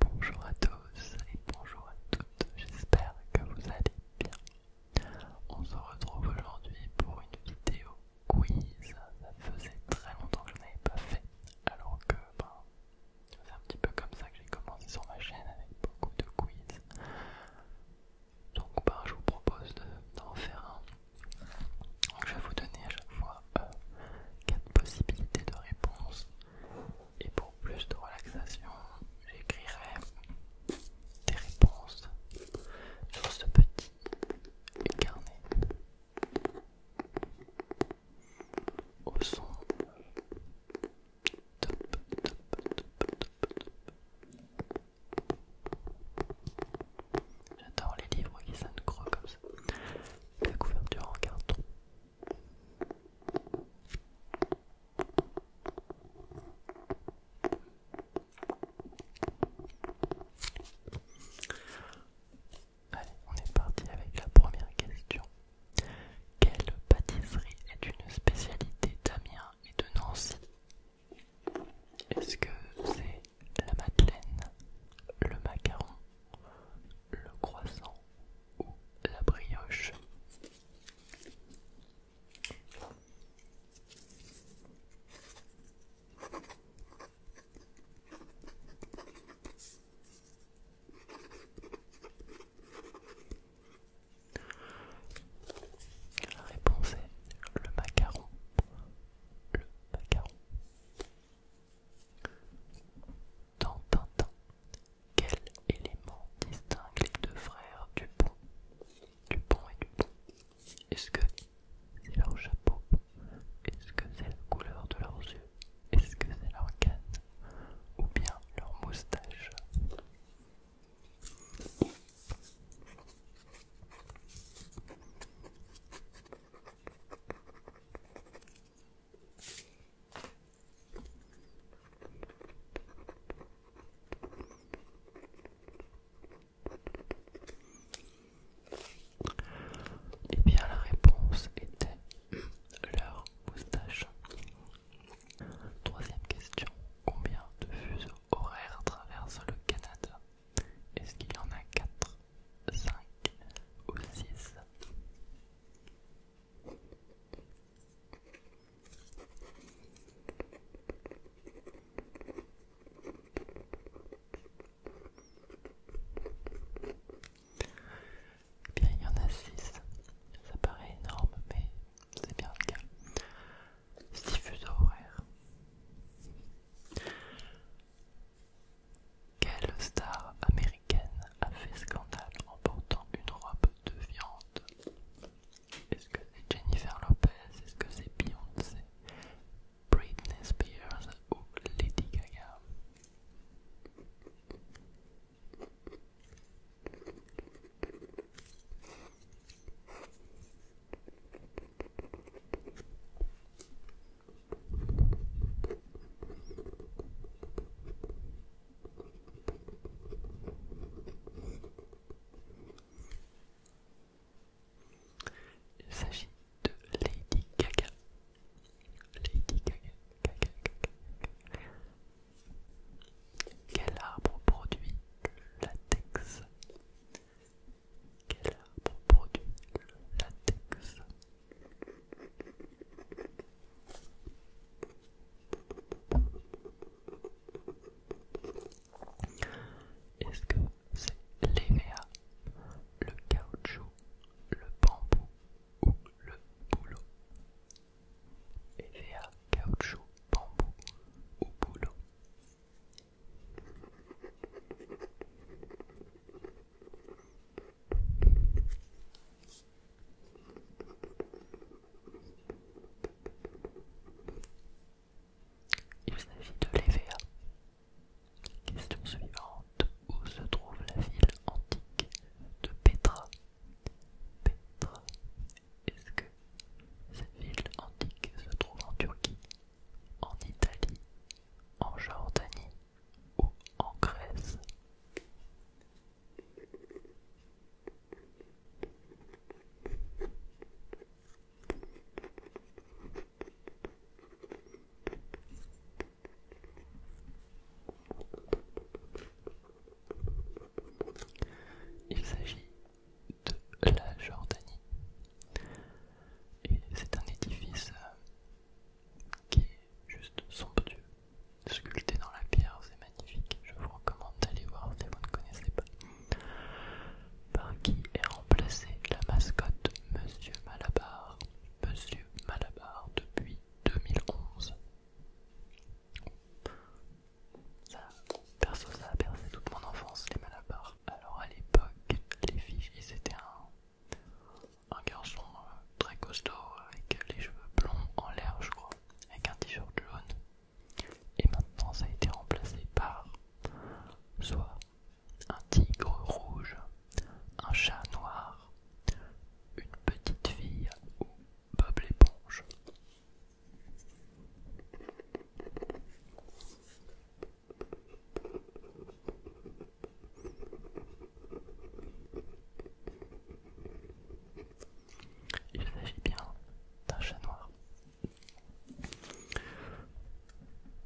Bonjour à tous et bonjour à toutes, j'espère que vous allez bien. On se retrouve aujourd'hui pour une vidéo quiz. Ça faisait très longtemps que je n'avais pas fait, alors que ben, c'est un petit peu comme ça que j'ai commencé sur ma chaîne avec beaucoup de quiz. Donc ben, je vous propose d'en faire un. je vais vous donner à chaque fois 4 euh, possibilités de réponse et pour plus de relaxation, j'écrirai des réponses sur ce petit carnet au son top, top, J'adore les livres qui sonnent creux comme ça. La couverture en carton Allez, on est parti avec la première question. Quelle pâtisserie est une spécialité d'Amiens et de Nancy Est-ce que c'est la madeleine, le macaron, le croissant ou la brioche. La réponse est le macaron. Le macaron. Dans Tintin, quel élément distingue les deux frères Dupont Dupont et Dupont. Est-ce que c'est leur chapeau Est-ce que c'est la couleur de leurs yeux Est-ce que c'est leur canne Ou bien leur moustache eh bien, la réponse était leur moustache. Troisième question combien de fuseaux horaires traversent le Canada Est-ce qu'il y en a 4, 5 ou 6 eh bien, il y en a 6. Ça paraît énorme, mais c'est bien le cas. 6 horaire. horaires. Quelle star américaine a fait scandale en portant une robe de viande Est-ce que c'est Jennifer Lopez Est-ce que c'est Beyoncé Britney Spears ou Lady Gaga il s'agit de Lady Gaga. Lady Gaga, Quel arbre produit le latex Quel arbre produit le latex est-ce que c'est l'EVA, le caoutchouc, le bambou ou le boulot EVA, caoutchouc, bambou ou boulot il s'agit de l'EVA. Question suivante. Où se trouve la ville antique de Petra Petra. Est-ce que cette ville antique se trouve en Turquie, en Italie, en Jordanie ou en Grèce. Il s'agit de la Jordanie et c'est un édifice euh, qui est juste somptueux, sculpté dans la pierre, c'est magnifique. Je vous recommande d'aller voir si vous ne connaissez pas. Par qui est remplacée la mascotte Monsieur Malabar Monsieur Malabar depuis 2011. Ça, perso, ça a percé toute mon enfance, les Malabar. Alors à l'époque, les filles, c'était un, un garçon euh, très costaud avec les cheveux blonds en l'air je crois, avec un t-shirt jaune. Et maintenant ça a été remplacé par soit un tigre rouge, un chat noir, une petite fille ou Bob l'éponge. Il s'agit bien d'un chat noir.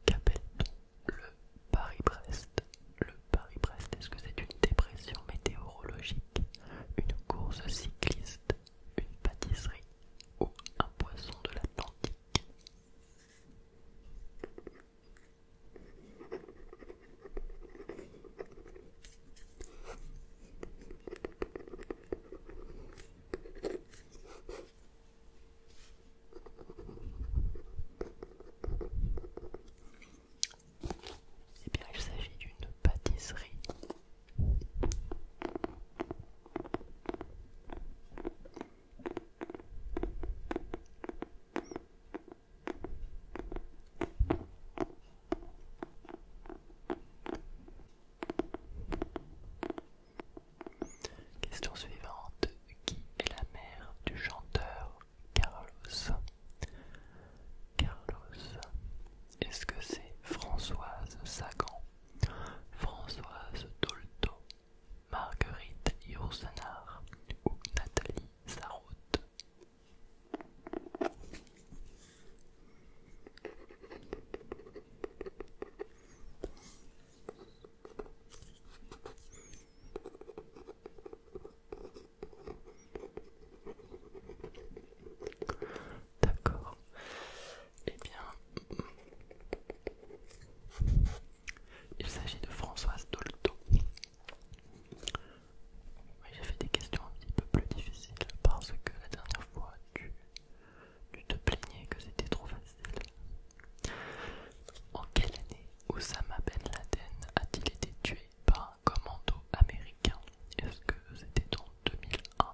Qu'appelle-t-on le Paris-Brest Le Paris-Brest, est-ce que c'est une dépression météorologique, une course cycliste, une pâtisserie ou un poisson de l'Atlantique eh bien, il s'agit d'une pâtisserie. Question suivante. Qui est la mère du chanteur Carlos Carlos. Est-ce que c'est Françoise Sagan, Françoise Tolto, Marguerite Yourcenar ou Nathalie Sarraute D'accord. Eh bien, il s'agit de Françoise Dolto, oui, j'ai fait des questions un petit peu plus difficiles parce que la dernière fois tu, tu te plaignais que c'était trop facile. En quelle année Osama Ben Laden a-t-il été tué par un commando américain Est-ce que c'était en 2001,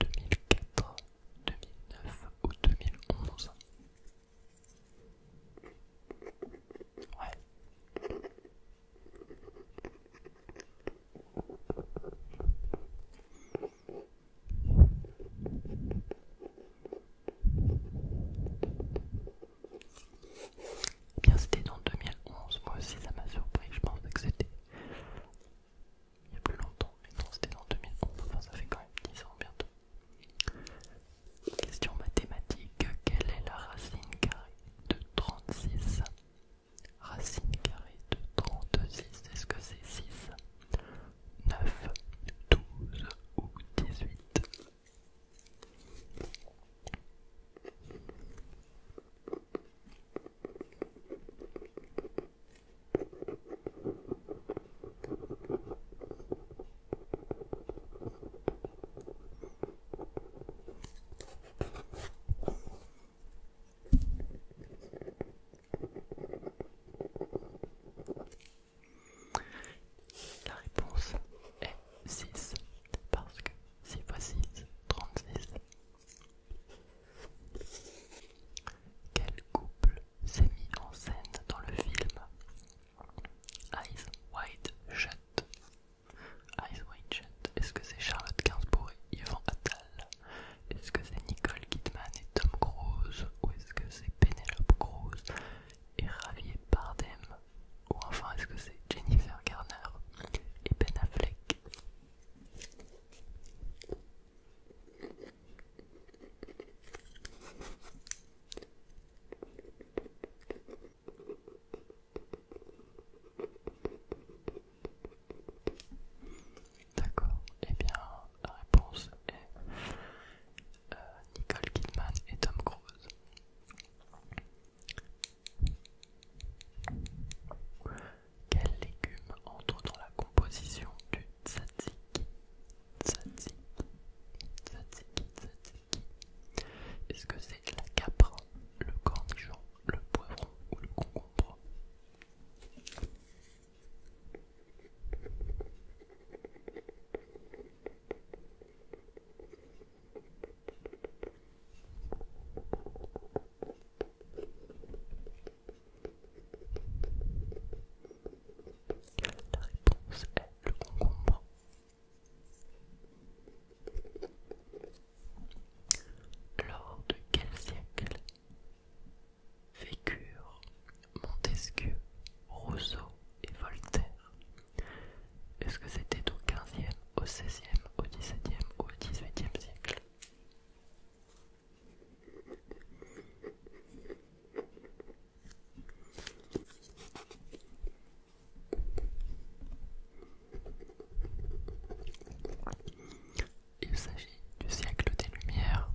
2004, 2009 ou 2011 Ouais. Bien, c'était dans 2011, moi aussi ça m'a surpris, je pensais que c'était il y a plus longtemps, mais non, c'était dans 2011, enfin ça fait quand même 10 ans bientôt. Question mathématique, quelle est la racine carrée de 36 Racine carrée de 36, est-ce que c'est 6 9, 12 ou 18 la réponse est 6 parce que 6 x 6, 36. Quel couple s'est mis en scène dans le film Eyes White Shut Eyes est-ce que c'est Charlotte Gainsbourg et Yvan Attal Est-ce que c'est Nicole Kidman et Tom Cruise Ou est-ce que c'est Penelope Cruz et Javier Bardem Ou enfin est-ce que c'est Jennifer Garner et Ben Affleck D'accord, et eh bien la réponse est euh, Nicole Kidman et Tom Cruise. Quel légume entre dans la composition du tzatziki Tzatziki, tzatziki, tzatziki. Est-ce que c'est la capra le cornichon, le poivron ou le concombre. La réponse est le concombre. Lors de quel siècle vécurent Montesquieu, Rousseau et Voltaire Est-ce que c'était au 15e, au 16e, au 17e, au 18e siècle il s'agit du siècle des Lumières.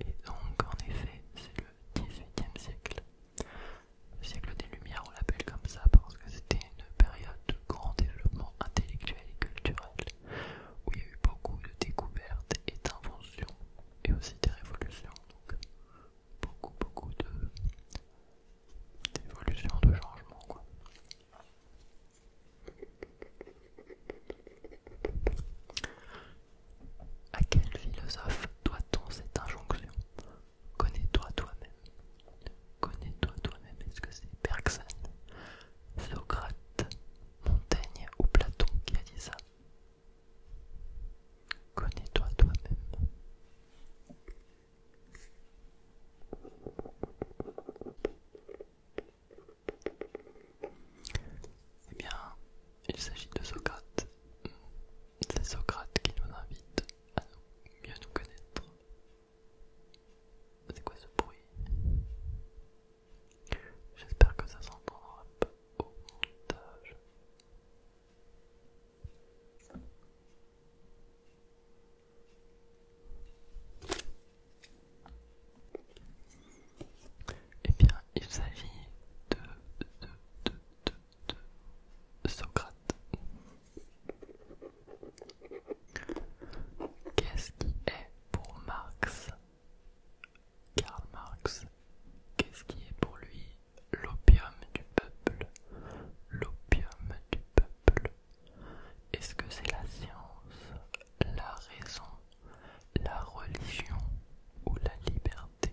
Et donc, en effet, c'est le 18 siècle. Le siècle des Lumières, on l'appelle comme ça parce que c'était une période de grand développement intellectuel et culturel, où il y a eu beaucoup de découvertes et d'inventions, et aussi des révolutions. Donc, beaucoup, beaucoup de d'évolution, de changement quoi. À quel philosophe doit-on cette injonction Connais-toi toi-même. Connais-toi toi-même. Est-ce que c'est Bergson, Socrate, Montaigne ou Platon qui a dit ça Connais-toi toi-même. Eh bien, il s'agit de Socrate. C'est Socrate qui nous invite à mieux nous connaître. C'est quoi ce bruit J'espère que ça s'entendra pas au montage. Eh bien, il s'agit de, de Socrate. Qu'est-ce qui est pour Marx Karl Marx, qu'est-ce qui est pour lui L'opium du peuple. L'opium du peuple. Est-ce que c'est la science, la raison, la religion ou la liberté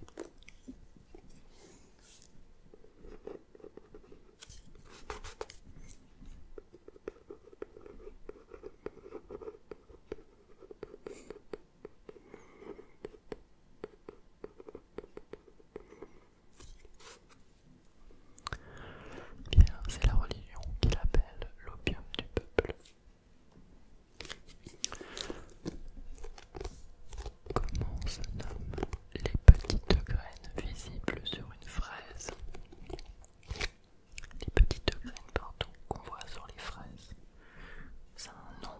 eh bien, c'est la religion qu'il appelle l'opium du peuple. Comment se nomment les petites graines visibles sur une fraise Les petites graines, pardon, qu'on voit sur les fraises. Ça a un nom.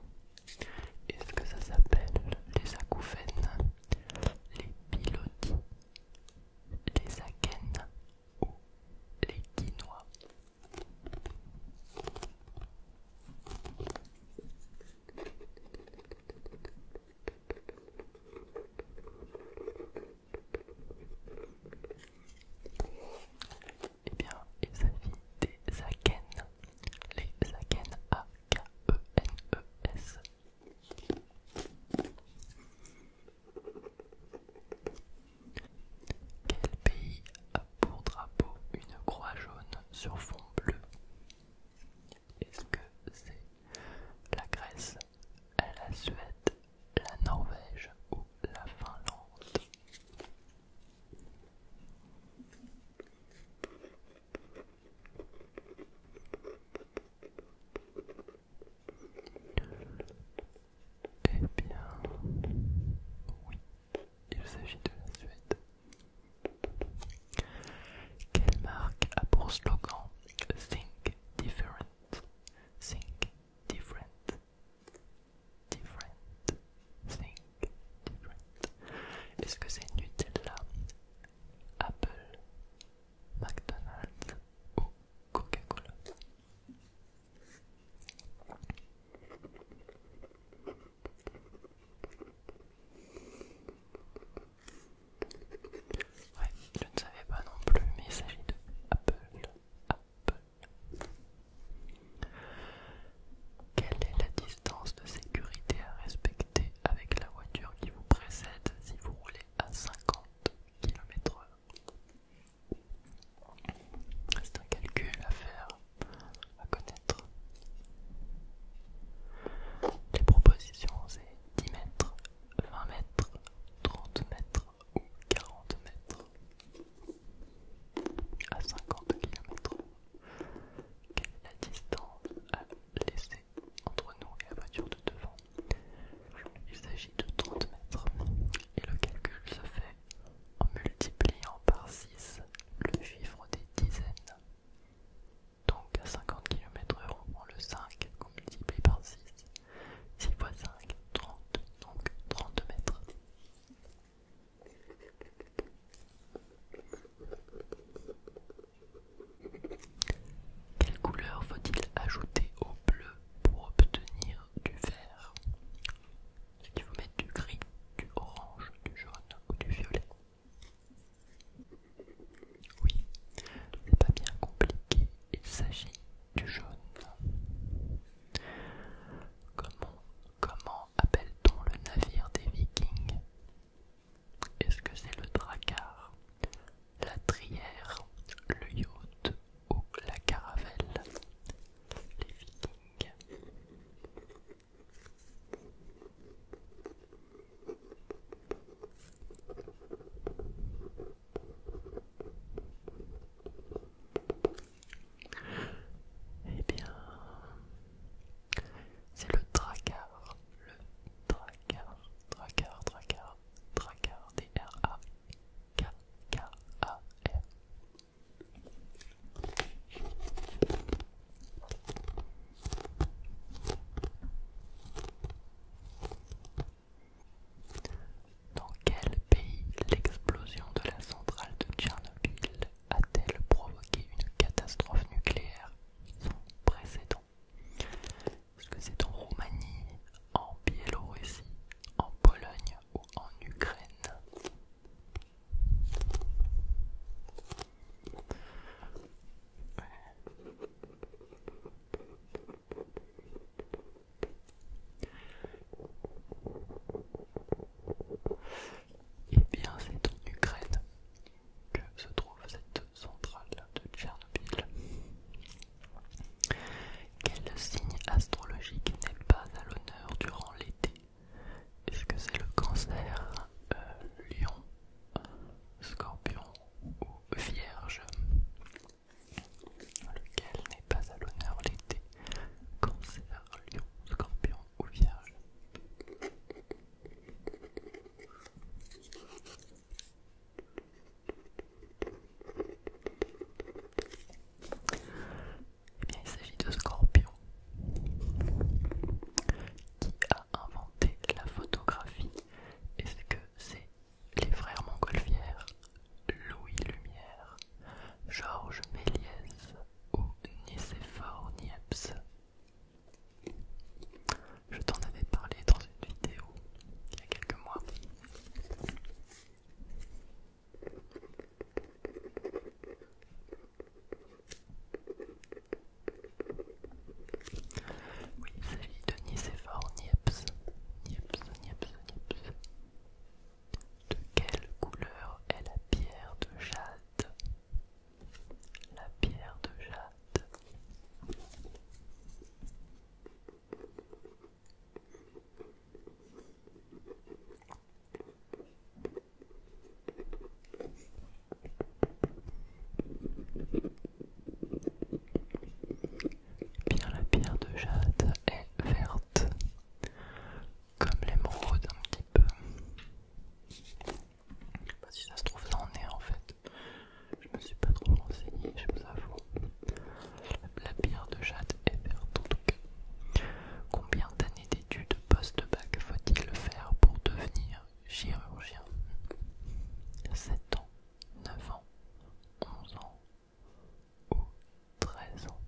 Est-ce que ça s'appelle les acouphènes Les pilotis les Akènes ou les dinois Eh bien, il s'agit des Akènes, les aken, A-K-E-N-E-S. Quel pays a pour drapeau une croix jaune sur fond bleu Est-ce que c'est la Grèce, la Suède, la Norvège ou la Finlande eh bien, oui, il s'agit de la Suède. Quelle marque a pour slogan Think Different? Think Different. Different. Think Different. Est-ce que c'est Nutella? Apple. McDonald's ou Coca-Cola. Ouais, je ne savais pas non plus, mais il s'agit de Apple. Apple. Quelle est la distance de sécurité à respecter avec la voiture qui vous précède si vous roulez à 50 km C'est un calcul à faire, à connaître. Les propositions c'est 10 mètres, 20 mètres, 30 mètres ou 40 mètres à 50 km. Quelle est la distance à laisser entre nous et la voiture de devant. Il s'agit de 30 mètres et le calcul se fait en multipliant par 6 le chiffre des dizaines. Donc à 50 km/h, on le 5 qu'on multiplie par 6. 6 x 5, 30, donc 30 mètres. Quelle couleur faut-il ajouter au bleu pour obtenir du vert Est-ce qu'il faut mettre du gris, du orange, du jaune ou du violet Oui, c'est pas bien compliqué, il s'agit du jaune. Comment, comment appelle-t-on le navire des vikings Est-ce que c'est le drakkar la trière, le yacht ou la caravelle, les vikings. Eh bien, c'est le tracard, le tracard, tracard, tracard. Dans quel pays l'explosion de la centrale de Tchernobyl a-t-elle provoqué une catastrophe nucléaire sans précédent est-ce que c'est en Roumanie, en Biélorussie, en Pologne ou en Ukraine Eh bien, c'est en Ukraine que se trouve cette centrale de Tchernobyl. Quel signe astrologique n'est pas à l'honneur durant l'été Est-ce que c'est le cancer, euh, lion, scorpion ou vierge Lequel n'est pas à l'honneur l'été Cancer, lion, scorpion ou vierge eh bien, il s'agit de Scorpion qui a inventé la photographie. et c'est que c'est les frères Montgolfière, Louis Lumière, Georges Méliès ou Nicéphore Niepce je t'en avais parlé dans une vidéo il y a quelques mois. Oui, il s'agit de Nicephore Niepce. Nieps, Nieps. De quelle couleur est la pierre de jade La pierre de jade. Bien, la pierre de jade est verte, comme l'émeraude un petit peu. pas si ça se trouve, ça en est en fait. Je me suis pas trop renseigné, je vous avoue. La bière de Jade est verte en tout cas. Combien d'années d'études post-bac faut-il faire pour devenir chirurgien 7 ans, 9 ans, 11 ans ou 13 ans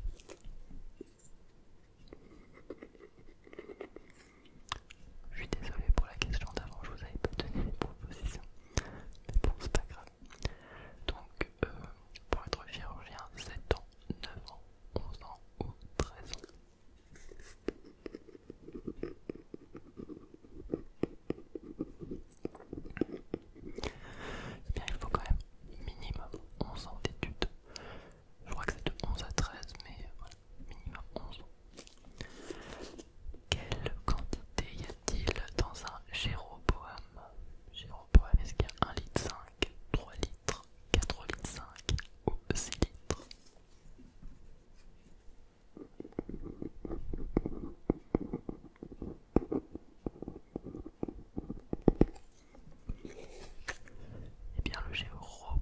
Je suis désolé pour la question d'avant, je vous avais pas donné les propositions. Mais bon, c'est pas grave. Donc, euh, pour être chirurgien, 7 ans, 9 ans, 11 ans ou 13 ans. Eh bien, il faut quand même minimum 11 ans d'études. Je crois que c'est de 11 à 13, mais voilà, minimum 11 ans. Quelle quantité y a-t-il dans un Jéroboam Jéroboam, est-ce qu'il y a 1 litre 5, 3 litres, 4 litres 5 ou 6 litres Eh bien le Jéroboam,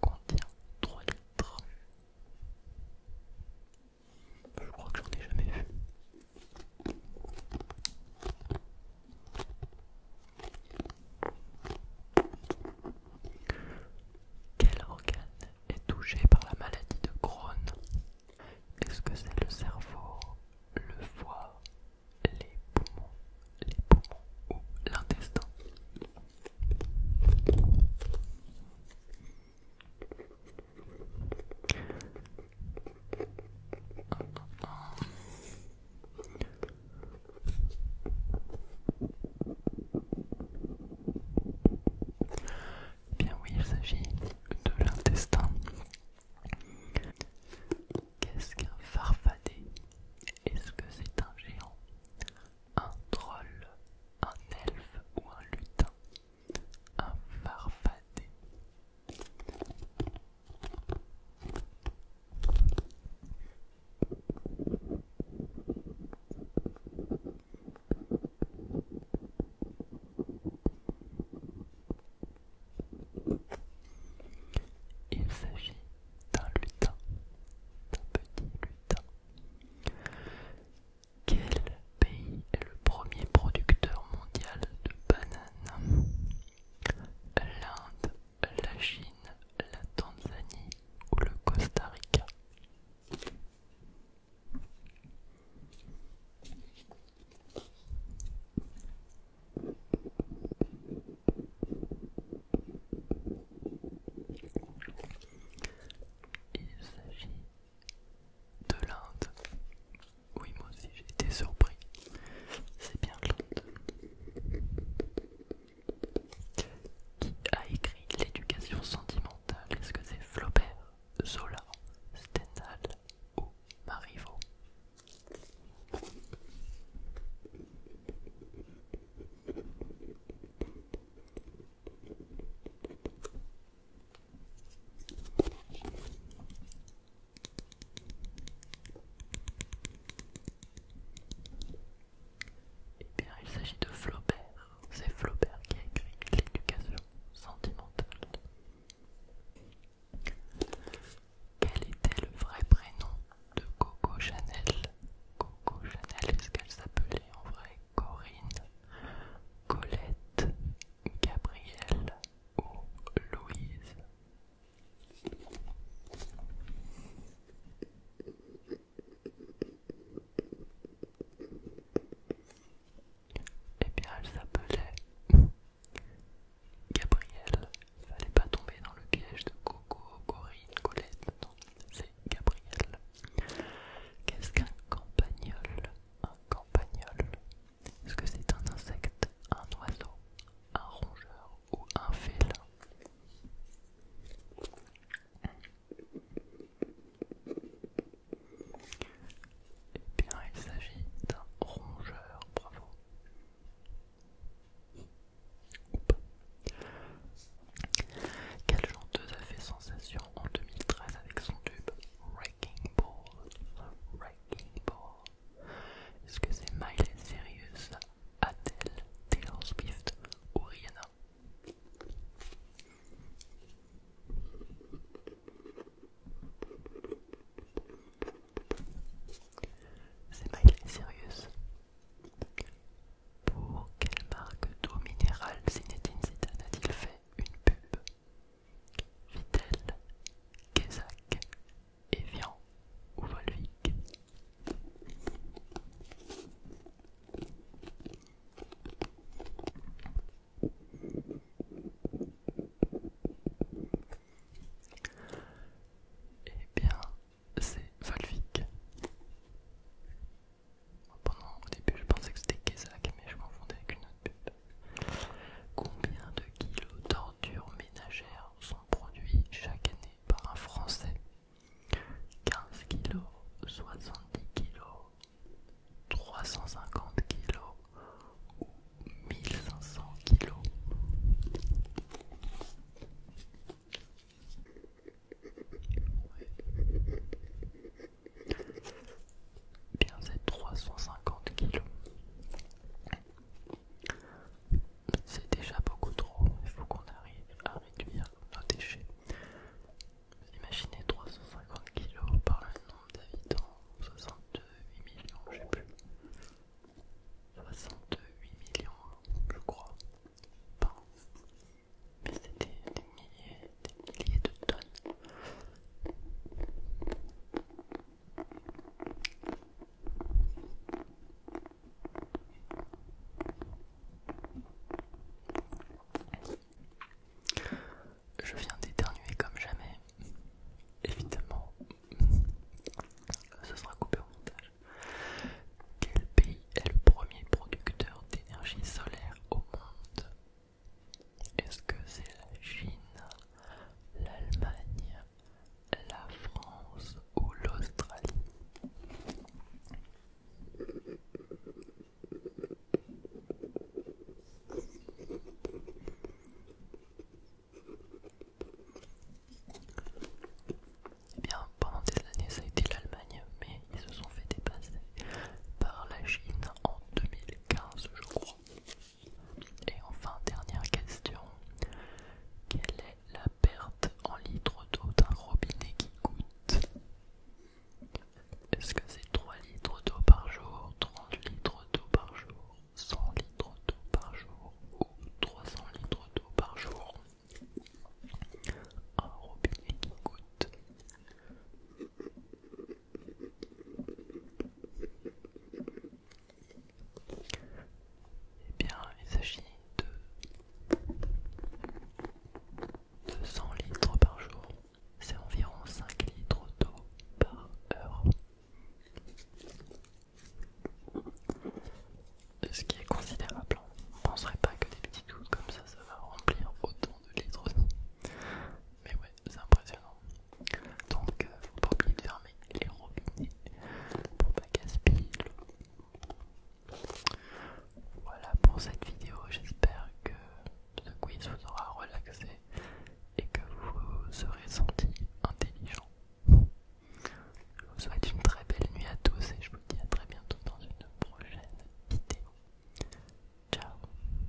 contient 3 litres. Je crois que j'en ai jamais vu. Quel organe est touché par la maladie de Crohn Est-ce que c'est le cerveau, le foie, les poumons, les poumons ou l'intestin Bien oui, il s'agit de l'intestin. Qu'est-ce qu'un farfadet Est-ce que c'est un géant, un troll, un elfe ou un lutin un farfadet. Il s'agit d'un lutin, d'un petit lutin quel pays est le premier producteur mondial de bananes L'Inde, la Chine, la Tanzanie ou le Costa Rica Il s'agit de l'Inde. Oui, moi aussi j'étais surpris. C'est bien l'Inde. Qui a écrit l'éducation sentimentale Est-ce que c'est Flaubert, Zola, Stendhal ou Marivaux eh bien, il s'agit de Flaubert. C'est Flaubert qui a écrit L'éducation sentimentale. Quel était le vrai prénom de Coco Chanel Coco Chanel, est-ce qu'elle s'appelait en vrai Corinne, Colette, Gabrielle ou Louise. Eh bien, elle s'appelait Gabrielle. Fallait pas tomber dans le piège de Coco, Corinne, Colette. Non, c'est Gabrielle. Qu'est-ce qu'un campagnol un campagnol Est-ce que c'est un insecte, un oiseau, un rongeur ou un félin Eh bien, il s'agit d'un rongeur, bravo. Quelle chanteuse a fait sensation en 2013 avec son tube Wrecking Ball. Wrecking Ball. Est-ce que c'est Miley Cyrus, Adele, Taylor Swift ou Rihanna c'est Miley Serious. Pour quelle marque d'eau minérale Zinedine Zidane a-t-il fait une pub Vittel, Kézak, Evian ou Volvic. Eh bien, c'est Volvic au début, je pensais que c'était Kézak, mais je confondais avec une autre pub. Combien de kilos d'ordures ménagères sont produits chaque année par un Français 15 kilos, 70 kilos, 350 kilos ou 1500 kilos bien c'est 350 kg. C'est déjà beaucoup trop, il faut qu'on arrive à réduire nos déchets. Imaginez 350 kg par le nombre d'habitants, 62 millions, je sais plus. 68 millions, je crois. mais c'était des milliers de tonnes. Je viens d'éternuer comme jamais. Évidemment, ce sera coupé au montage. Quel pays est le premier producteur d'énergie solaire au monde est-ce que c'est la Chine, l'Allemagne, la France ou l'Australie eh bien, pendant des années, ça a été l'Allemagne, mais ils se sont fait dépasser par la Chine en 2015, je crois. Et enfin, dernière question. Quelle est la perte en litres d'eau d'un robinet qui coûte Est-ce que c'est 3 litres d'eau par jour, 30 litres d'eau par jour, 100 litres d'eau par jour ou 300 litres d'eau par jour Un robinet qui coûte eh bien, il s'agit de 200 litres par jour. C'est environ 5 litres d'eau par heure. Ce qui est considérable. On ne penserait pas que des petites gouttes comme ça, ça va remplir autant de litres Mais ouais, c'est impressionnant. Donc, il faut pas oublier de fermer les robinets pour pas gaspiller l'eau. Voilà pour cette vidéo, j'espère que le quiz vous aura relaxé et que vous serez senti intelligent. Je vous souhaite une très belle nuit à tous et je vous dis à très bientôt dans une prochaine vidéo. Ciao